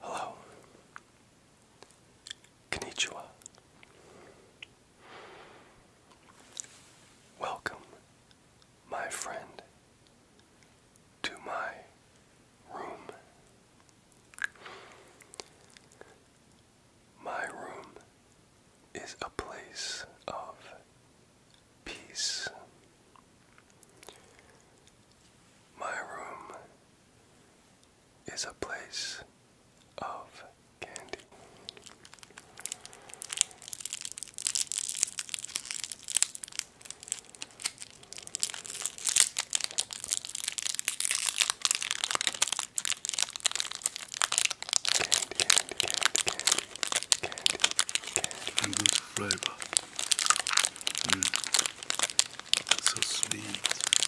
Hello. Konnichiwa. Welcome, my friend, to my room. My room is a place of peace. My room is a place of candy. Candy, candy, candy, candy, candy, candy. flavor. Mm. So sweet.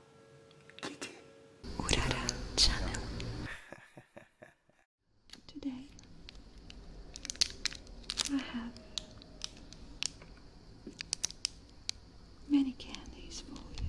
Kitty. Urara channel. Today I have many candies for you.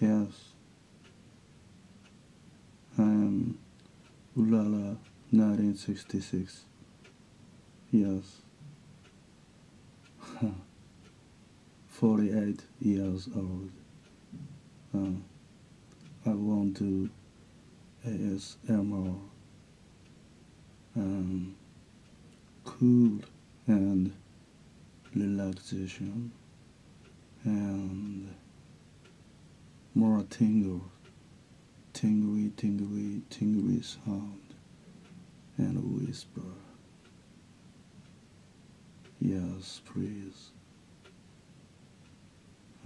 Yes. I am Ulala 1966. Yes. 48 years old. Uh, I want to ASMR. Um, cool and relaxation and more tingle, tingly, tingly, tingly sound and whisper. Yes, please.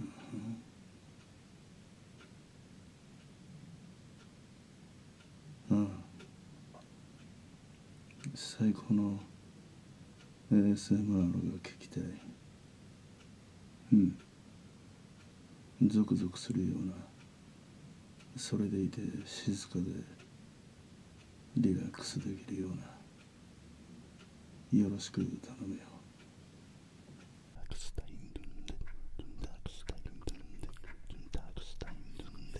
Uh-huh. ああ最高の ASMR が聞きたいうんゾクゾクするようなそれでいて静かでリラックスできるようなよろしく頼むよダークスタイルンドゥンドダークスタインドゥンドダークスタイルンドゥンド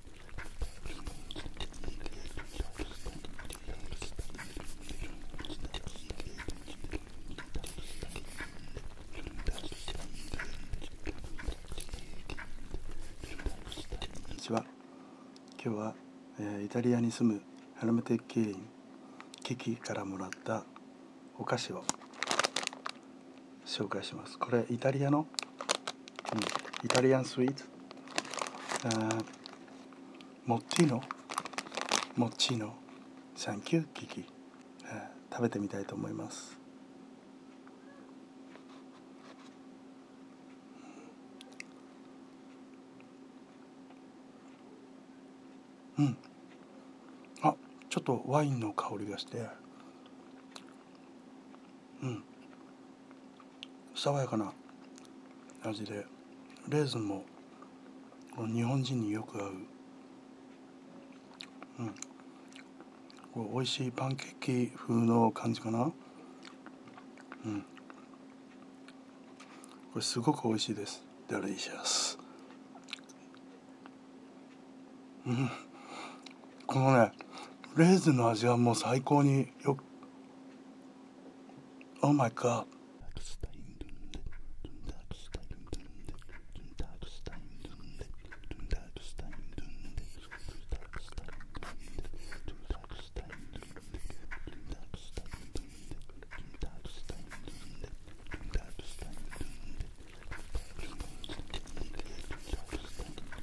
こんにちは今日は、イタリアに住むハラムテッキーリンキキからもらったお菓子を紹介しますこれイタリアの、うん、イタリアンスイーツモッチーノモッチーノサンキューキキ食べてみたいと思いますうんあちょっとワインの香りがしてうん爽やかな味でレーズンもこの日本人によく合う、うん、美味しいパンケーキ風の感じかなうんこれすごく美味しいですデリシャスうんこのねレーズンの味はもう最高によく Oh my god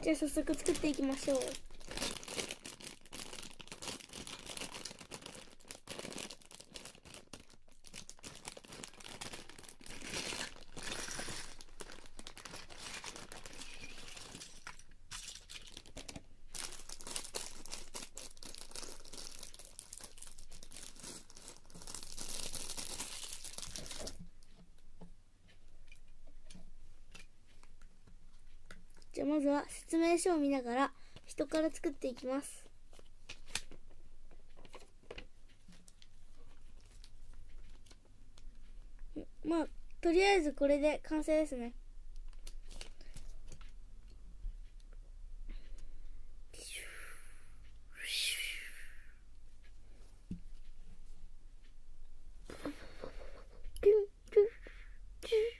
じゃあ早速作っていきましょう。じゃあまずは説明書を見ながら人から作っていきますまあとりあえずこれで完成ですねピュンピュンピュン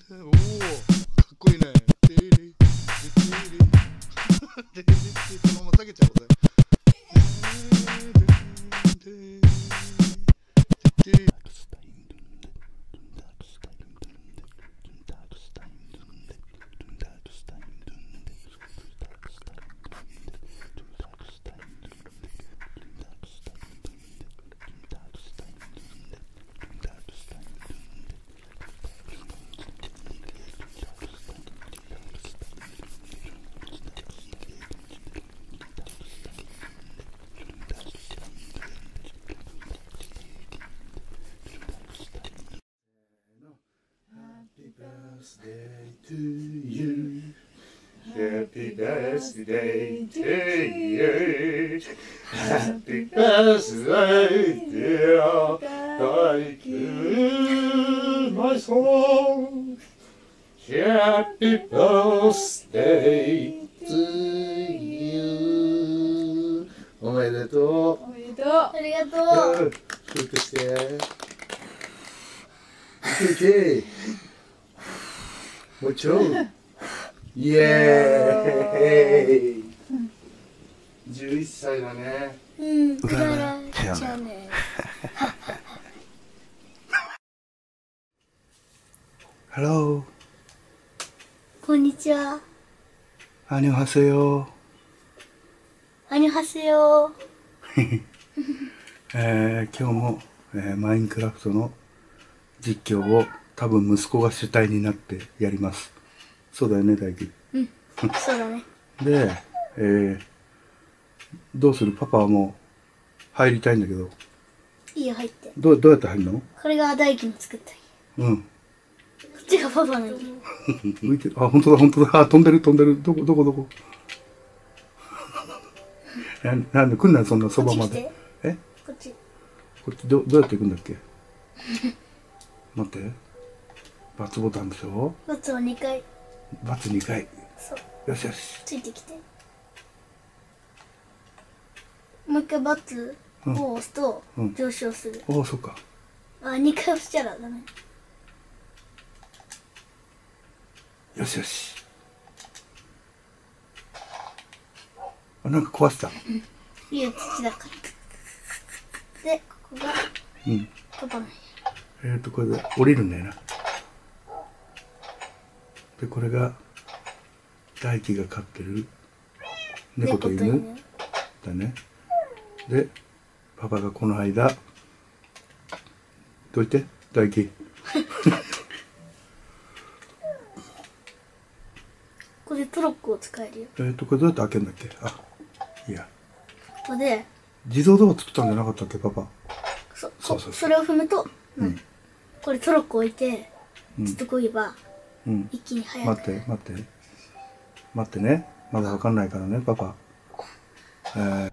んだおおかっこいいねままげちゃうこ Happy birthday to you. Happy birthday to you. Happy birthday, dear. Thank you, my song. Happy birthday to you. おめでとう。おめでとう。ありがとう。キープして。いけいけ。もうちょい。イエーイ11歳だねうんうららちゃねこんにちはアニョハセヨアニョハセヨえー、今日も、えー、マインクラフトの実況を多分息子が主体になってやります。そうだよね、大輝。うん。そうだね。で、えー、どうするパパも入りたいんだけど。いいよ、入って。どうどうやって入るのこれが大輝の作ったうん。こっちがパパの家。浮いてる。あ、本当だ、本当だ。あ、飛んでる、飛んでる。どこ、どこ、どこ。ななんで来んそんなそばまで。えこっち。こっち、どどうやって行くんだっけ 待ってバツボタンでしょバツを2回バツ2回そう。よしよしついてきてもう一回バツを押すと上昇する、うんおそっかあ2回押したらダメよしよしなんか壊した。いや、土だから。で、ここが。うん。飛ばなえっ、と、これで降りるんだよな。で、これが。大輝が飼ってる。猫と犬。だね。で。パパがこの間。どいて、大輝。ここでトロッコを使えるよえっとこれどうやって開けんだっけあいやここで自動ドア作ったんじゃなかったっけパパそう、そうそうそれを踏むと、うん、これトロッコ置いてずっとこいば、うん、一気に速く待って待って待ってねまだわかんないからねパパえー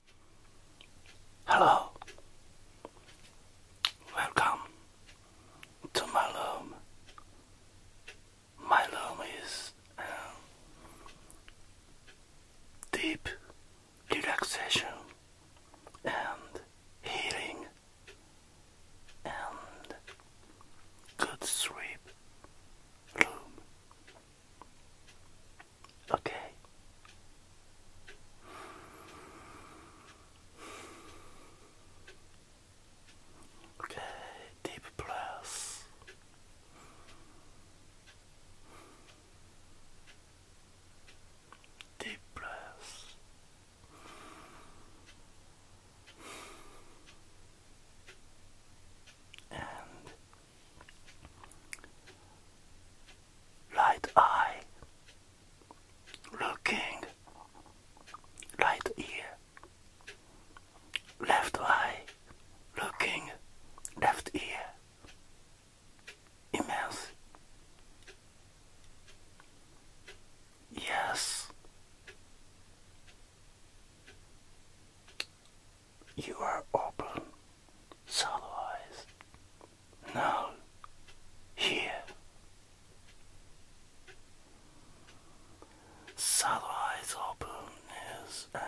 Hello. Welcome to my room. My room is um, deep relaxation and healing and good sleep room. Okay. Okay, deep breaths. Deep breaths. And right eye, looking, right ear, left eye, looking, left ear, immense. Yes, you are open, solo now here. Saddle eyes open his uh,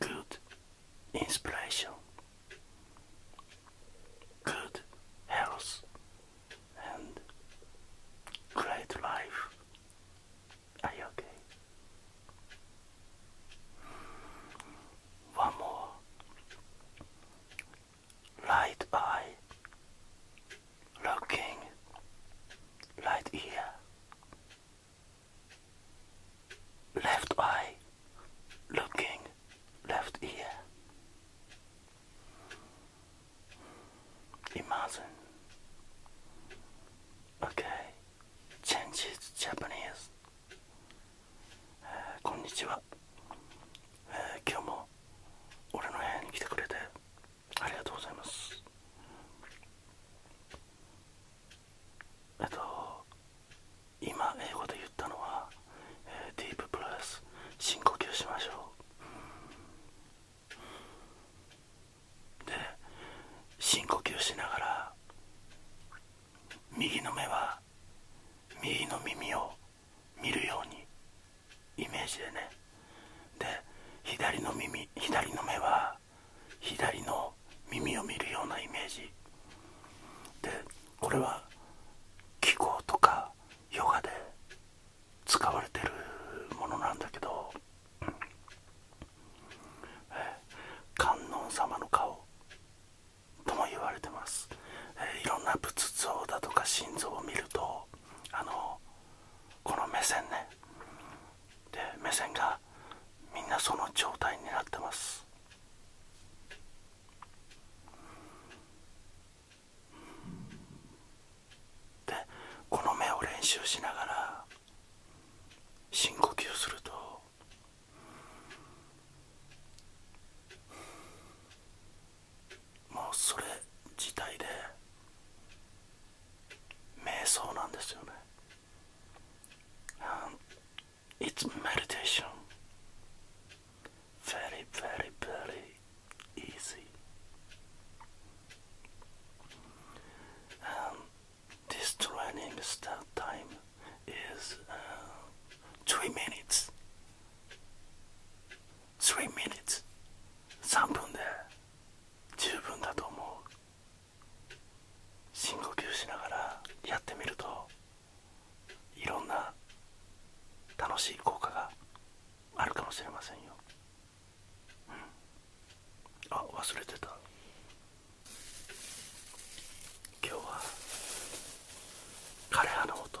good inspiration, good health, and great life okay? One more. Right eye. Looking. Right ear. Left eye. Looking. Left ear. Imagine. Okay. Changes Japanese、えこんにちは、えー、今日も俺の部屋に来てくれてありがとうございますえっと今英語で言ったのは、えー、ディーププラス深呼吸しましょうで深呼吸しながら右の目は右の耳を見るようにイメージでねで左の耳左の目は左の耳を見るようなイメージでこれは気候とかヨガで使われてるものなんだけど、観音様の顔とも言われてます、えいろんな仏像だとか心臓を見るとあのこの目線ねで目線がみんなその状態になってますでこの目を練習しながら深呼吸するともうそれ自体で瞑想なんですよね。Um, it's meditation. Very, very, very easy. Um, This training start time is uh, three minutes. Three minutes. 3分で十分だと思う。深呼吸しながらやってみるといろんな楽しい効果があるかもしれませんよ。うん、あ忘れてた。今日は枯葉の音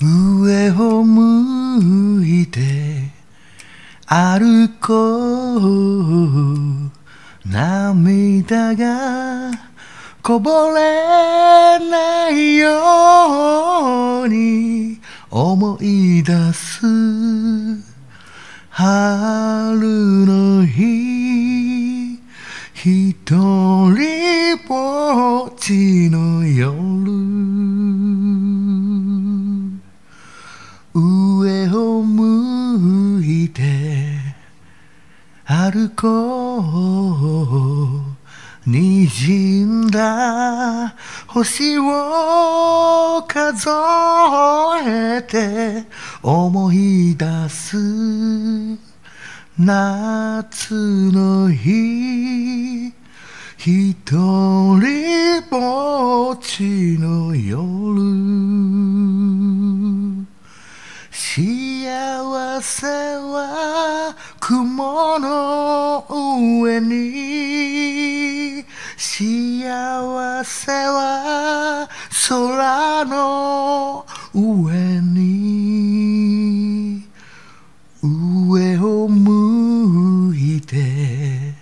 上を向いて歩こう涙がこぼれないように思い出す春の日一人ぼっちの夜上を向いて歩こうにじんだ星を数えて思い出す夏の日一人ぼっちの夜幸せは雲の上に幸せは空の上に上を向いて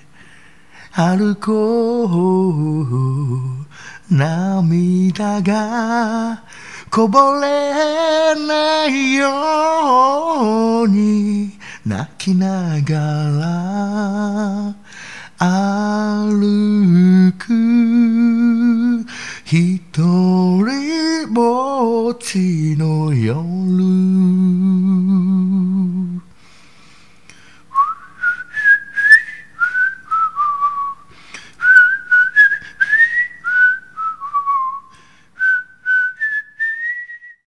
歩こう涙がこぼれないように泣きながら歩くひとりぼっちの夜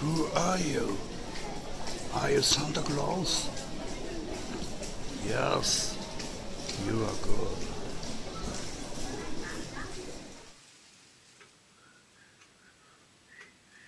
Who are you? Are you Santa Claus? Yes, you are good.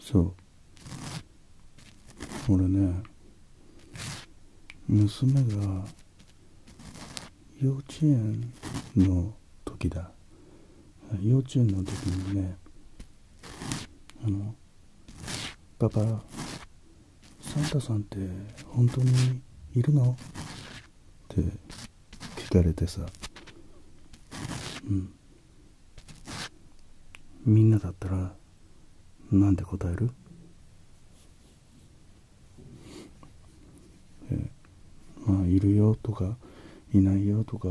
そう俺ね娘が幼稚園の時だ幼稚園の時にねあのパパサンタさんって本当にいるのって聞かれてさ、うん、みんなだったらなんで答える、えー、まあいるよとかいないよとか、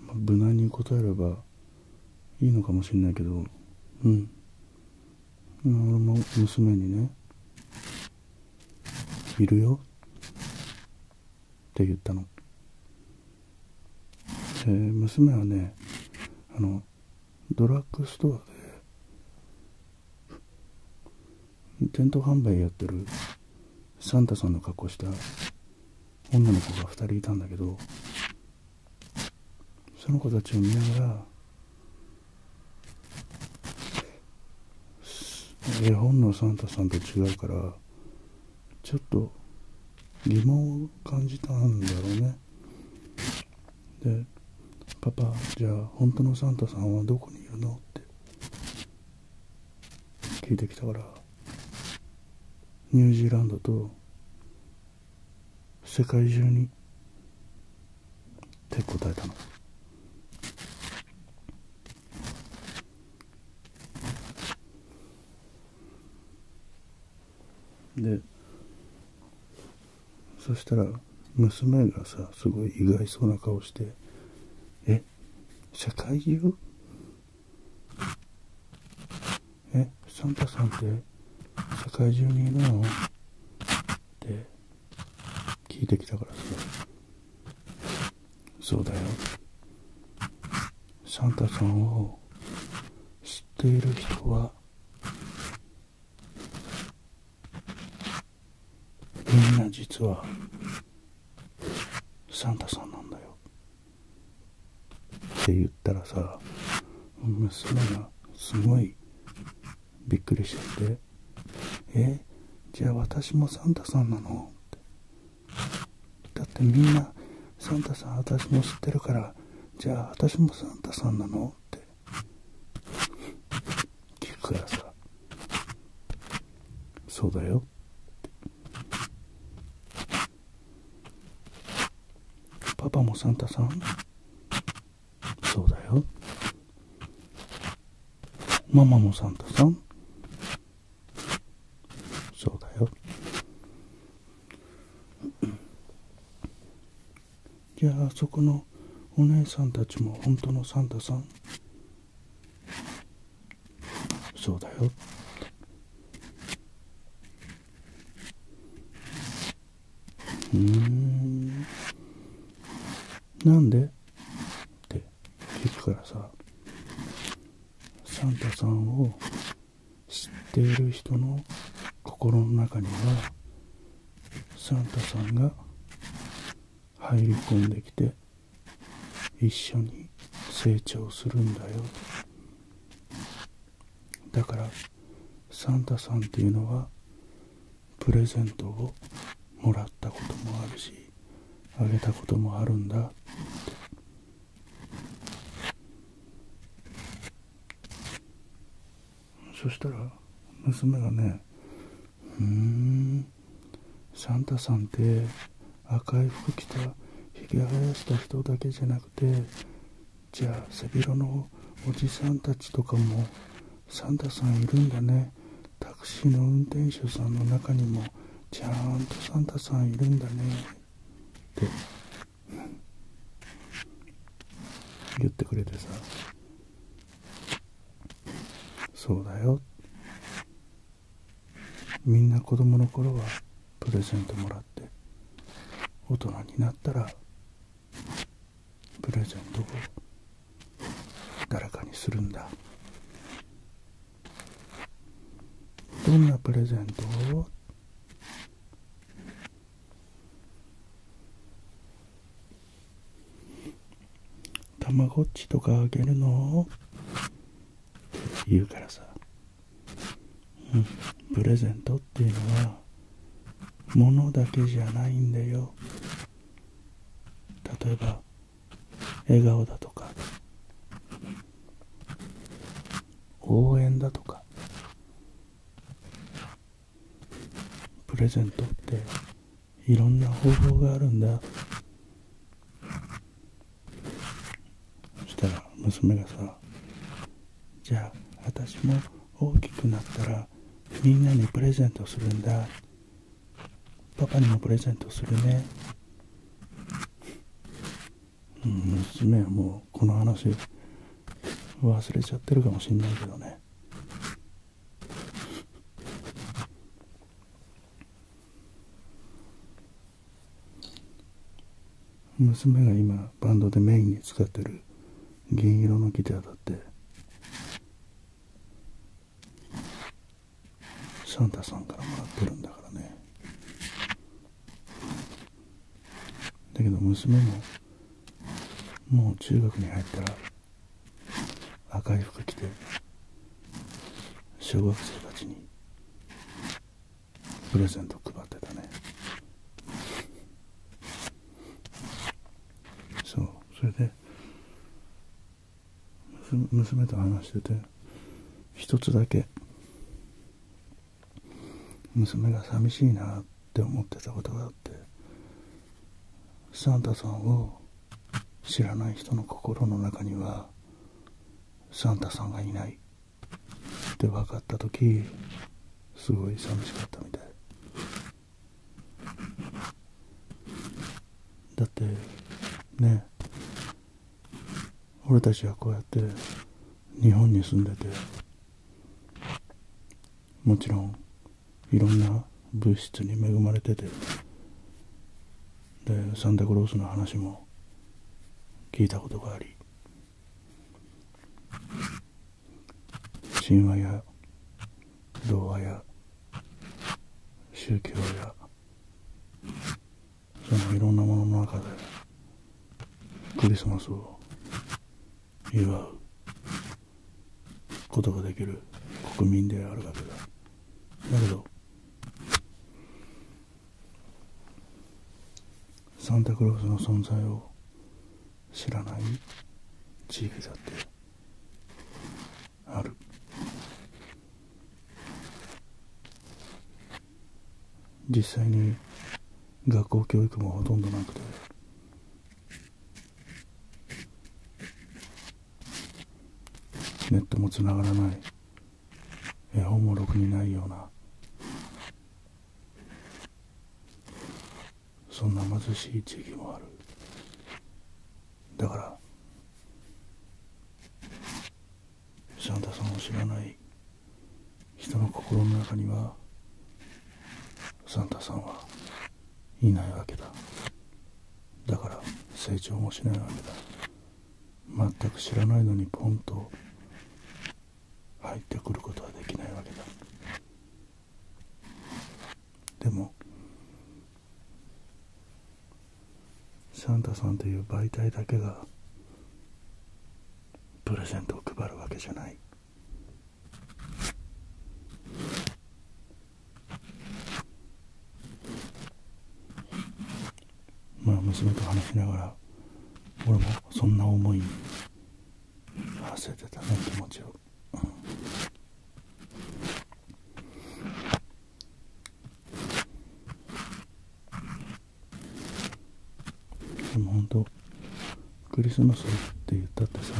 まあ、無難に答えればいいのかもしれないけどうん俺も娘にねいるよって言ったので娘はねあのドラッグストアで店頭販売やってるサンタさんの格好した女の子が2人いたんだけどその子たちを見ながら絵本のサンタさんと違うからちょっと疑問を感じたんだろうねで「パパじゃあ本当のサンタさんはどこにいるの?」って聞いてきたからニュージーランドと世界中にって答えたのでそしたら娘がさすごい意外そうな顔して「え社会人えサンタさんって社会中にいるの?」って聞いてきたからさそうだよサンタさんを知っている人はみんな実はサンタさんなんだよって言ったらさ娘がすごいびっくりしててえじゃあ私もサンタさんなのってだってみんなサンタさん私も知ってるからじゃあ私もサンタさんなのって聞くからさそうだよパパもサンタさんそうだよママもサンタさんそうだよじゃあそこのお姉さんたちも本当のサンタさんそうだようんなんでってゆくからさサンタさんを知っている人の心の中にはサンタさんが入り込んできて一緒に成長するんだよだからサンタさんっていうのはプレゼントをもらったこともあるしあげたこともあるんだってそしたら娘がね「うんサンタさんって赤い服着たひげ生やした人だけじゃなくてじゃあ背広のおじさんたちとかもサンタさんいるんだねタクシーの運転手さんの中にもちゃんとサンタさんいるんだねって言ってくれてさそうだよみんな子供の頃はプレゼントもらって大人になったらプレゼントを誰かにするんだどんなプレゼントをたまごっちとかあげるのって言うからさ、うん、プレゼントっていうのは物だけじゃないんだよ例えば笑顔だとか応援だとかプレゼントっていろんな方法があるんだそしたら娘がさじゃあ私も大きくなったらみんなにプレゼントするんだパパにもプレゼントするね娘はもうこの話忘れちゃってるかもしんないけどね娘が今バンドでメインに使ってる銀色のギターだってサンタさんからもらってるんだからねだけど娘ももう中学に入ったら赤い服着て小学生たちにプレゼント配ってたねそうそれで娘と話してて一つだけ娘が寂しいなって思ってたことがあってサンタさんを知らない人の心の中にはサンタさんがいないって分かった時すごい寂しかったみたいだってね俺たちはこうやって日本に住んでてもちろんいろんな物質に恵まれててサンタクロースの話も聞いたことがあり神話や童話や宗教やそのいろんなものの中でクリスマスを祝うことができる国民であるわけだだけどサンタクロースの存在を知らない地域だってある実際に学校教育もほとんどなくてネットもつながらない絵本もろくにないようなそんな貧しい地域もあるだからサンタさんを知らない人の心の中にはサンタさんはいないわけだだから成長もしないわけだ全く知らないのにポンと入ってくることはできないわけだでもサンタさんという媒体だけがプレゼントを配るわけじゃないまあ娘と話しながら俺もそんな思いに馳せてたね気持ちを。でも本当クリスマスって言ったってさ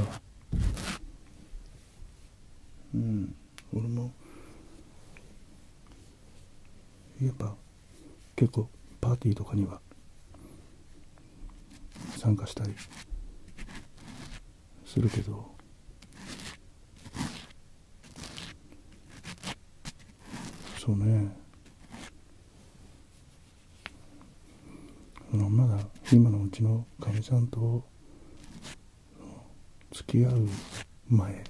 うん俺もやっぱ結構パーティーとかには参加したりするけどそうねまだ今のうちのかみさんと付き合う前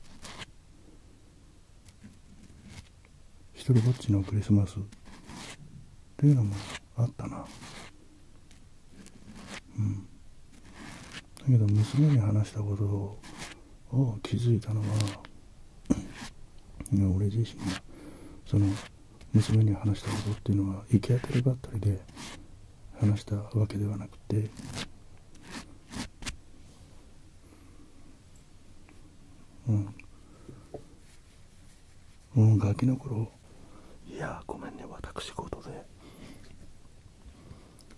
一りぼっちのクリスマスっていうのもあったなうんだけど娘に話したことを気づいたのは俺自身がその娘に話したことっていうのは行き当たりばったりで話したわけではなくてうんもうガキの頃いやごめんね私事で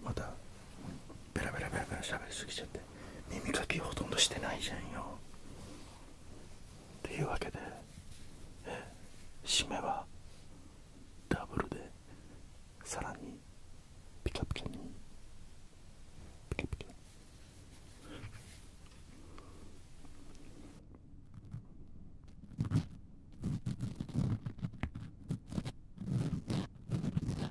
またベラベラベラベラ喋りすぎちゃって耳かきほとんどしてないじゃんよっていうわけでえ締めはダブルでさらにピカピカにピカピカ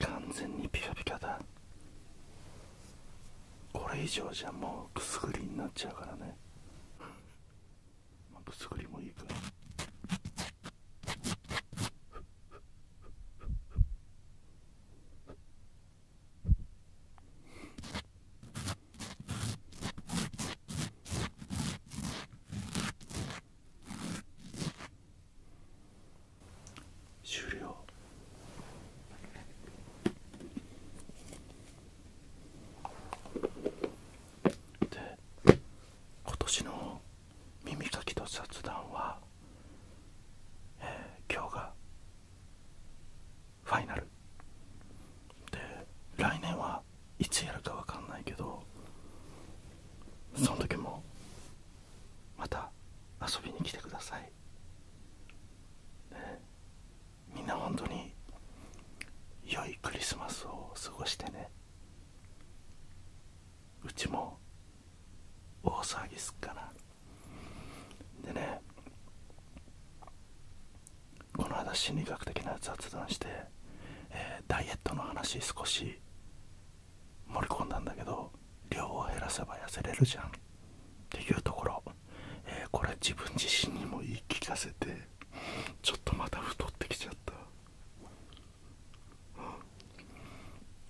完全にピカピカだこれ以上じゃもうくすぐりになっちゃうからねまくすぐりもいいかな。終了。で今年の耳かきと雑談は、え今日がファイナルで来年はいつやるかわかんないけどその時もまた遊びに来てください、みんな本当に良いクリスマスを過ごしてねうちも大騒ぎすっかなでねこの間心理学的な雑談して、えダイエットの話少し盛り込んだんだけど量を減らせば痩せれるじゃんっていうところ、えこれ自分自身にも言い聞かせてちょっとまた太ってきちゃった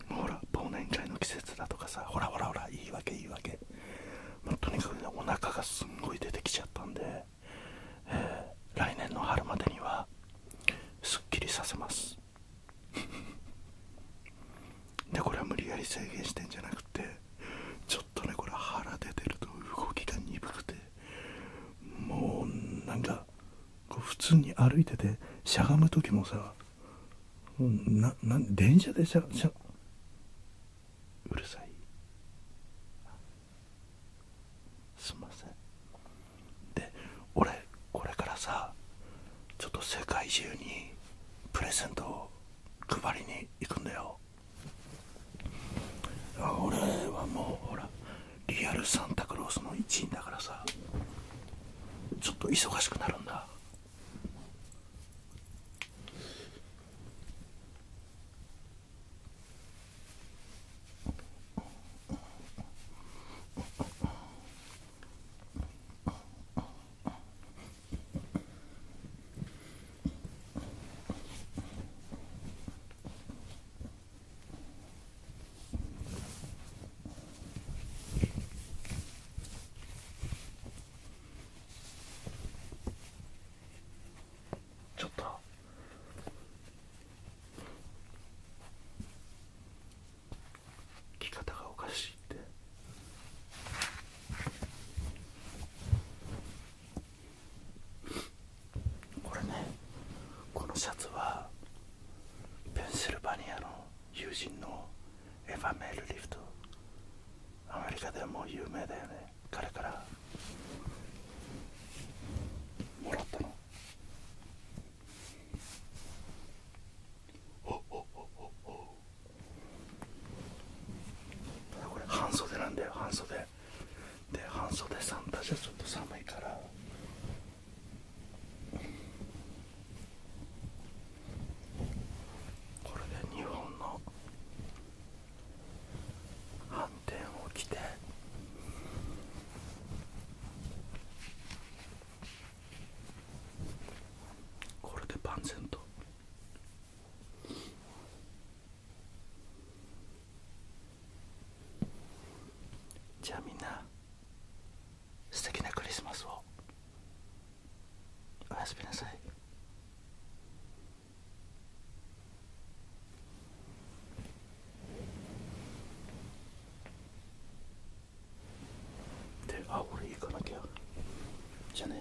ほら忘年会の季節だとかさほらほらほらいいわけいいわけ、とにかくねお腹がすんごい出てきちゃったんで、え来年の春までにはすっきりさせます でこれは無理やり制限してんじゃなくてちょっとねこれ腹出てると動きが鈍くてもうなんかこう普通に歩いててしゃがむ時もさな、な、電車でしゃ、しゃ、うるさい。すんません。で、俺、これからさ、ちょっと世界中にプレゼントを配りに行くんだよ。俺はもう、ほら、リアルサンタクロースの一員だからさ、ちょっと忙しくなるんだちょっと着方がおかしいってこれねこのシャツはペンシルバニアの友人のエヴァメールリフトアメリカでも有名だよね彼からもらったのおおおおおこれ半袖なんだよ半袖で半袖サンタじゃちょっと寒いからこれで日本の反転を着てこれで万全と。じゃあみんな素敵なクリスマスをおやすみなさいであ俺行かなきゃじゃね